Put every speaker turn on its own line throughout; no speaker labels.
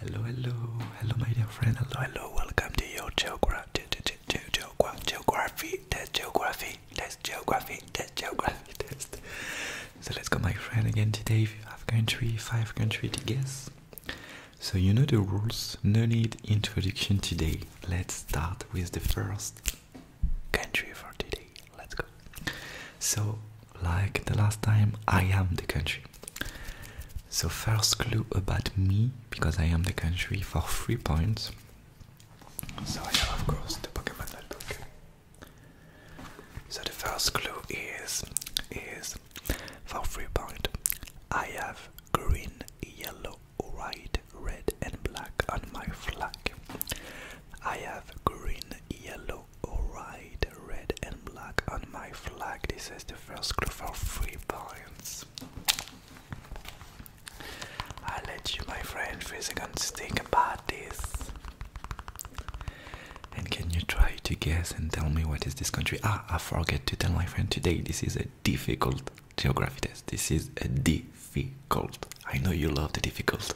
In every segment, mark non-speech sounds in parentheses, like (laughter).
Hello, hello, hello, my dear friend. Hello, hello. Welcome to your geography, geography test, geography test, geography test, geography test. So let's go, my friend. Again today, you have country, five country to guess. So you know the rules. No need introduction today. Let's start with the first country for today. Let's go. So like the last time, I am the country. So, first clue about me, because I am the country for three points.
So, I have, of course, the Pokemon notebook. So, the first clue is, is for three points, I have green, yellow, white, red, and black on my flag. I have green, yellow, Alright, red and black on my flag. This is the first clue for three points. I'll let you, my friend, for a second think about this. And can you try to
guess and tell me what is this country? Ah, I forget to tell my friend today. This is a difficult geography test. This is a difficult. I know you love the difficult.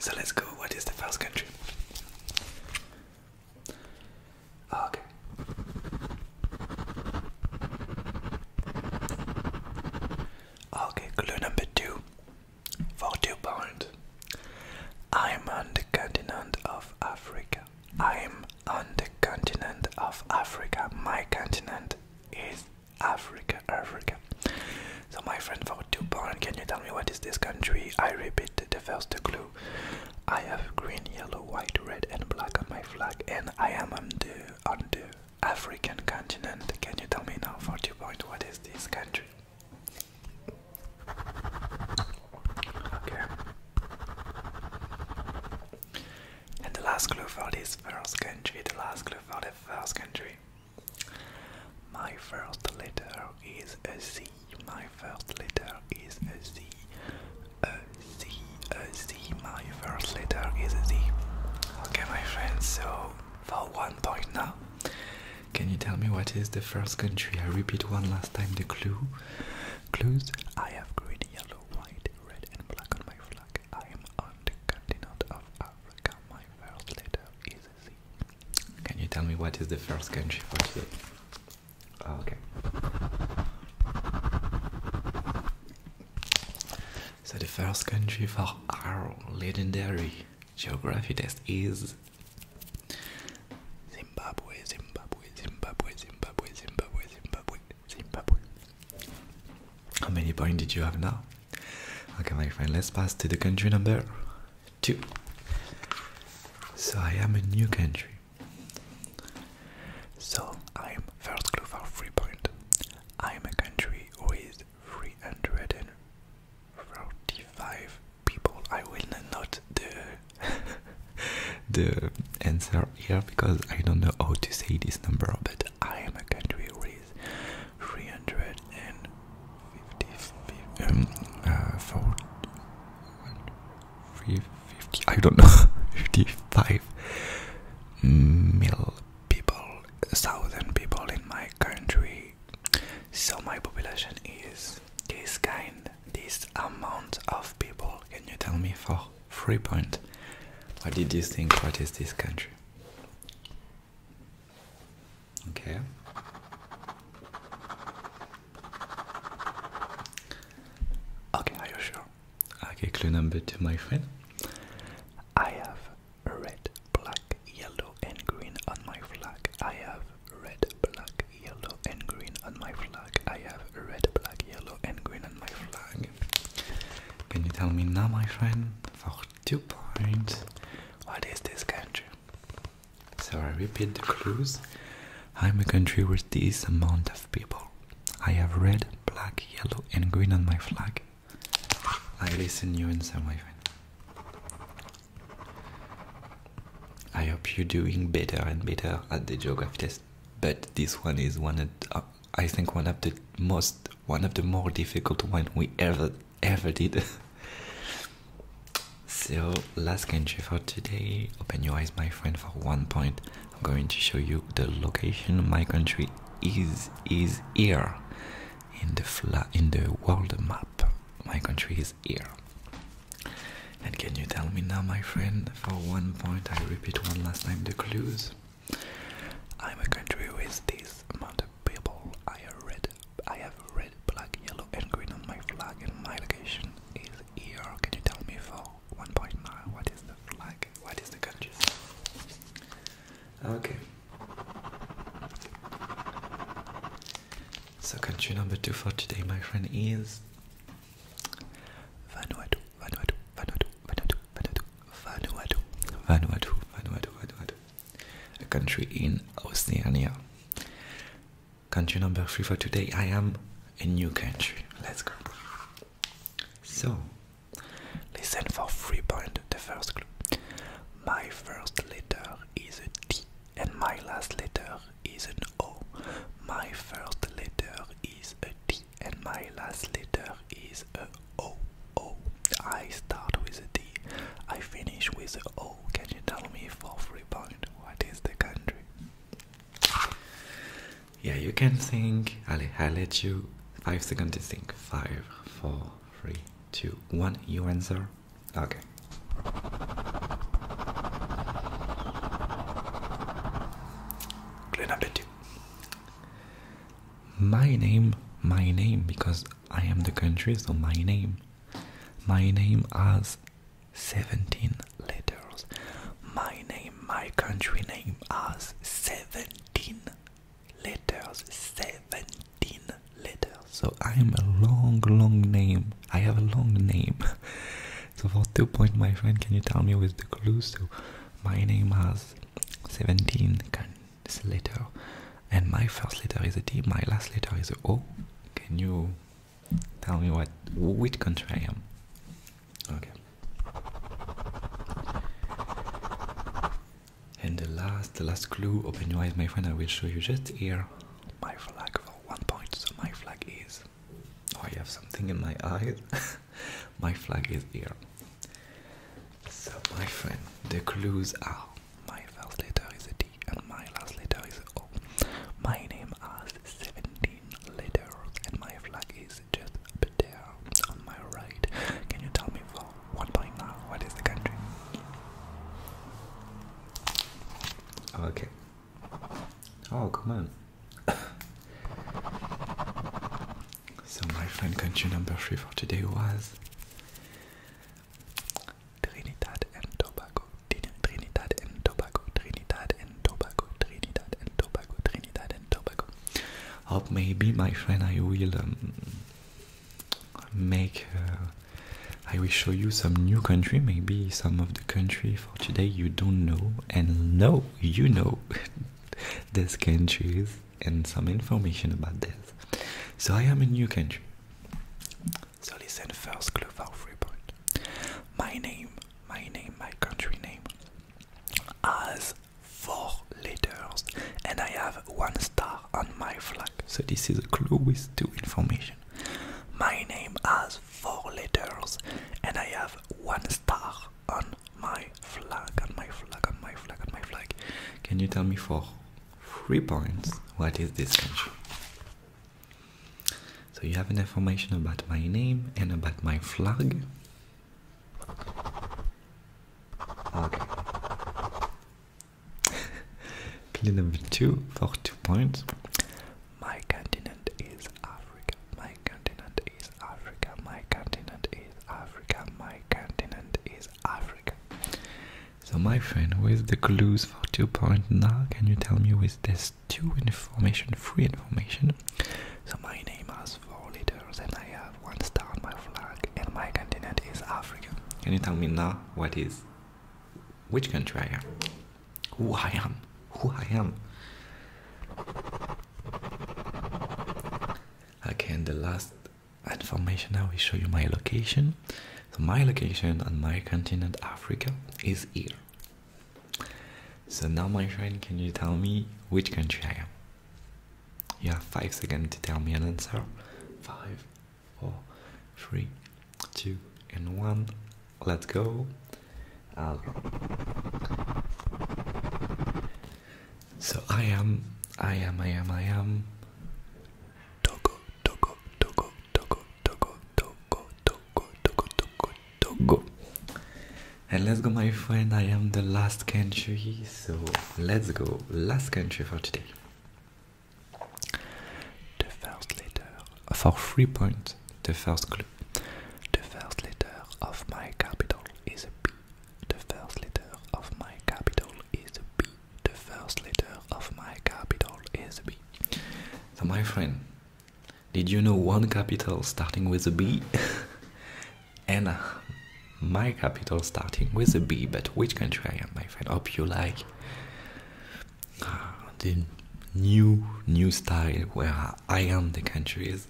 So let's go. What is the first country? Ah, okay. Ah, okay, clue number two. For two pounds. I'm on the continent of Africa. I'm on the continent of Africa. My continent is Africa, Africa. So my friend for two pounds, can you tell me what is this country? I repeat the first clue. I have green, yellow, white, red, and black on my flag, and I am on the on the African continent. Can you tell me now, 40 point, what is this country? Okay. And the last clue for this first country, the last clue for the first country. My first letter is a C. My first letter is a Z. A Z. A Z. My first
letter is Z. Okay, my friends. So for one point now, can you tell me what is the first country? I repeat one last time the clue. Clues. I have green, yellow, white, red, and black on my flag. I am on the continent of Africa. My first letter is can you tell me what is the first country for today? Oh, okay. So the first country for our legendary geography test is Zimbabwe, Zimbabwe, Zimbabwe, Zimbabwe, Zimbabwe, Zimbabwe, Zimbabwe. How many points did you have now? Okay, my friend, let's pass to the country number two. So I am a new country. So I'm first clue for three point. I'm a country with three hundred and forty-five people. I will not the (laughs) the answer here because I don't know how to say this number, but I am a country with three hundred and um, uh, 50, 50 um, I don't know, (laughs) 55 mil people, thousand people in my country. So my population is this kind, this amount of people. Can you tell me for free point? What did you think? What is this country? Okay. Okay, are you sure? Okay, clue number two, my friend. I have red, black, yellow, and green on my flag. I have red, black, yellow, and green on my flag. I have red, black, yellow, and green on my flag. Can you tell me now, my friend? For two points, what is this country? So I repeat the clues. I'm a country with this amount of people. I have red, black, yellow, and green on my flag. I listen you in some way. I hope you're doing better and better at the geography test. But this one is one of, I think one of the most, one of the more difficult one we ever ever did. (laughs) so, last country for today. Open your eyes, my friend, for one point. I'm going to show you the location. My country is is here in the fla in the world map. My country is here. And can you tell me now, my friend, for one point? I repeat one last time the clues. I'm a
country with this amount of people. I have red, I have red, black, yellow, and green on my flag, and my location is here. Can you tell me for
1.9 what is the flag? What is the country? Okay. So country number two for today, my friend, is
Vanuatu, Vanuatu,
Vanuatu, Vanuatu, Vanuatu, Vanuatu, Vanuatu, Vanuatu, Vanuatu a country in Oceania. Country number three for today. I am a new country.
Let's go. So, listen for three point the first clue. My first letter is a T, and my last letter is an O. My first letter
is a T, and my last letter is a O. O. I start with a T. I finish with a O can you tell me for free point what is the country? Yeah, you can think. I'll, i let you five seconds to think. Five, four, three, two, one. You answer. Okay. Clue number two. My name, my name, because I am the country, so my name. My name has 17
letters. My name, my country name has 17 letters.
17 letters. So I am a long, long name. I have a long name. (laughs) So for two points, my friend, can you tell me with the clue? So my name has 17 this letter, and my first letter is a T. my last letter is a O. Can you tell me what which country I am? Okay. And the last, the last clue. Open your eyes, my friend. I will show you just here my flag for one point. So my flag is. Oh, I have something in my eyes. (laughs) my flag is here. So, my friend, the clues are my first letter is a T, and my last letter is a O. My name has 17 letters and my flag is just up there on my right. Can you tell me for now? what is the country? Okay. Oh, come on. so my friend country number three for today was Trinidad and Tobago, Trinidad and Tobago, Trinidad and Tobago, Trinidad and Tobago, Trinidad and Tobago. Or maybe, my friend, I will um, make. Uh, I will show you some new country, maybe some of the country for today you don't know, and no, you know (laughs) these countries and some information about this. So I am a new country. So listen first clue for free point. My name, my
name, my country name has four letters and I have one star on my flag.
So this is a clue with two information.
My name has four letters and I have one star on my flag, on my flag, on
my flag, on my flag. Can you tell me for Three points. What is this country? So you have an information about my name and about my flag. Okay. Clue (laughs) number two for two points. My continent is Africa. My continent is Africa. My continent is Africa. My continent is Africa. So my friend, with the clues for 2.9, can you tell me with this two information, three information? So my name has four letters and I have one star on my flag and my continent is Africa. Can you tell me now what is, which country I am? Who I am? Who I am? Okay, and the last information I will show you my location. So my location on my continent Africa is here. So now my friend can you tell me which country I am? You have five seconds to tell me an answer. Five, four, three, two, and one. Let's go. So I am, I am, I am, I am. Togo, Togo, Togo, Togo, Togo, Togo, Togo, Togo, Togo, Togo. And let's go, my friend. I am the last country, so let's go. Last country for today. The first letter for three points. The first clue. The first letter of my capital is a B. The first letter of my capital is a B. The first letter of my capital is B. So, my friend, did you know one capital starting with a B? (laughs) and my capital starting with a B, but which country I am, my friend? Hope you like ah, the new new style where I am the country is.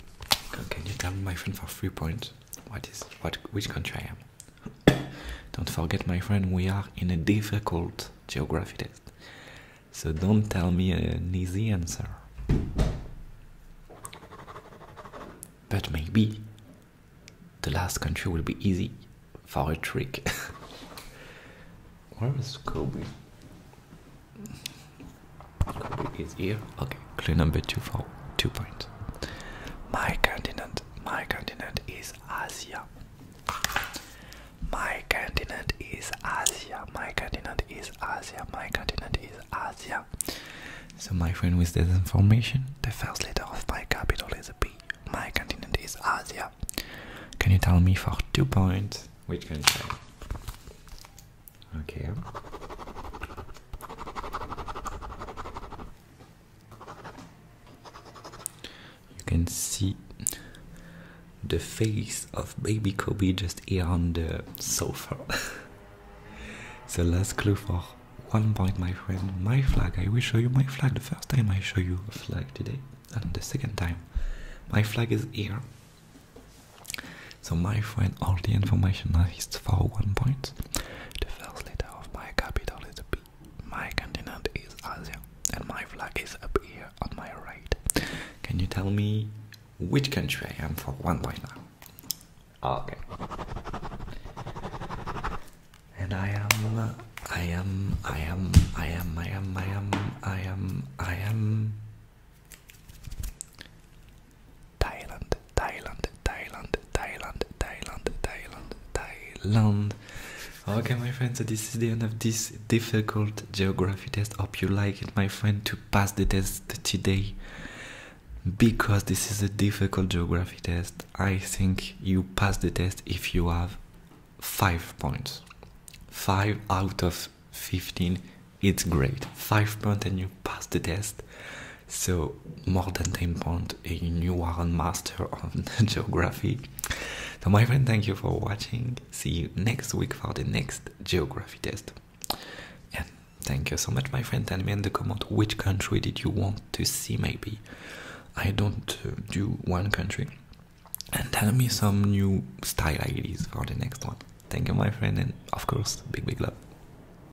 Can you tell my friend, for three points? What is what? Which country I am? (coughs) don't forget, my friend, we are in a difficult geography test. So don't tell me an easy answer. But maybe the last country will be easy for a trick. (laughs) Where is Kobe? Kobe here. Okay, clue number two for two points. My
continent my continent is Asia. My continent is Asia. My continent is Asia. My continent is Asia.
So, my friend, with this information, the first letter of my capital is a P.
My continent is Asia.
Can you tell me for two points which can Okay. You can see the face of baby Kobe just here on the sofa. (laughs) The last clue for one point, my friend. My flag. I will show you my flag. The first time I show you a flag today, and the second time, my flag is here. So my friend, all the information is for one point continents. The first letter of my capital is B. My continent is Asia, and my flag is up here on my right. Can you tell me which country I am for one point now? Okay. And I am, I am, I am, I am, I am, I am, I am, I am. Thailand, Thailand, Thailand, Thailand, Thailand, Thailand, Thailand. Okay, my friends, so this is the end of this difficult geography test. Hope you like it, my friend, to pass the test today. Because this is a difficult geography test, I think you pass the test if you have five points. Five out of 15, it's great. Five points, and you pass the test. So, more than 10 points, and new world master (laughs) of geography. So, my friend, thank you for watching. See you next week for the next geography test. And thank you so much, my friend. Tell me in the comment which country did you want to see, maybe. I don't uh, do one country. And tell me
some new style ideas for the next one. Thank you, my friend, and of course, big, big love.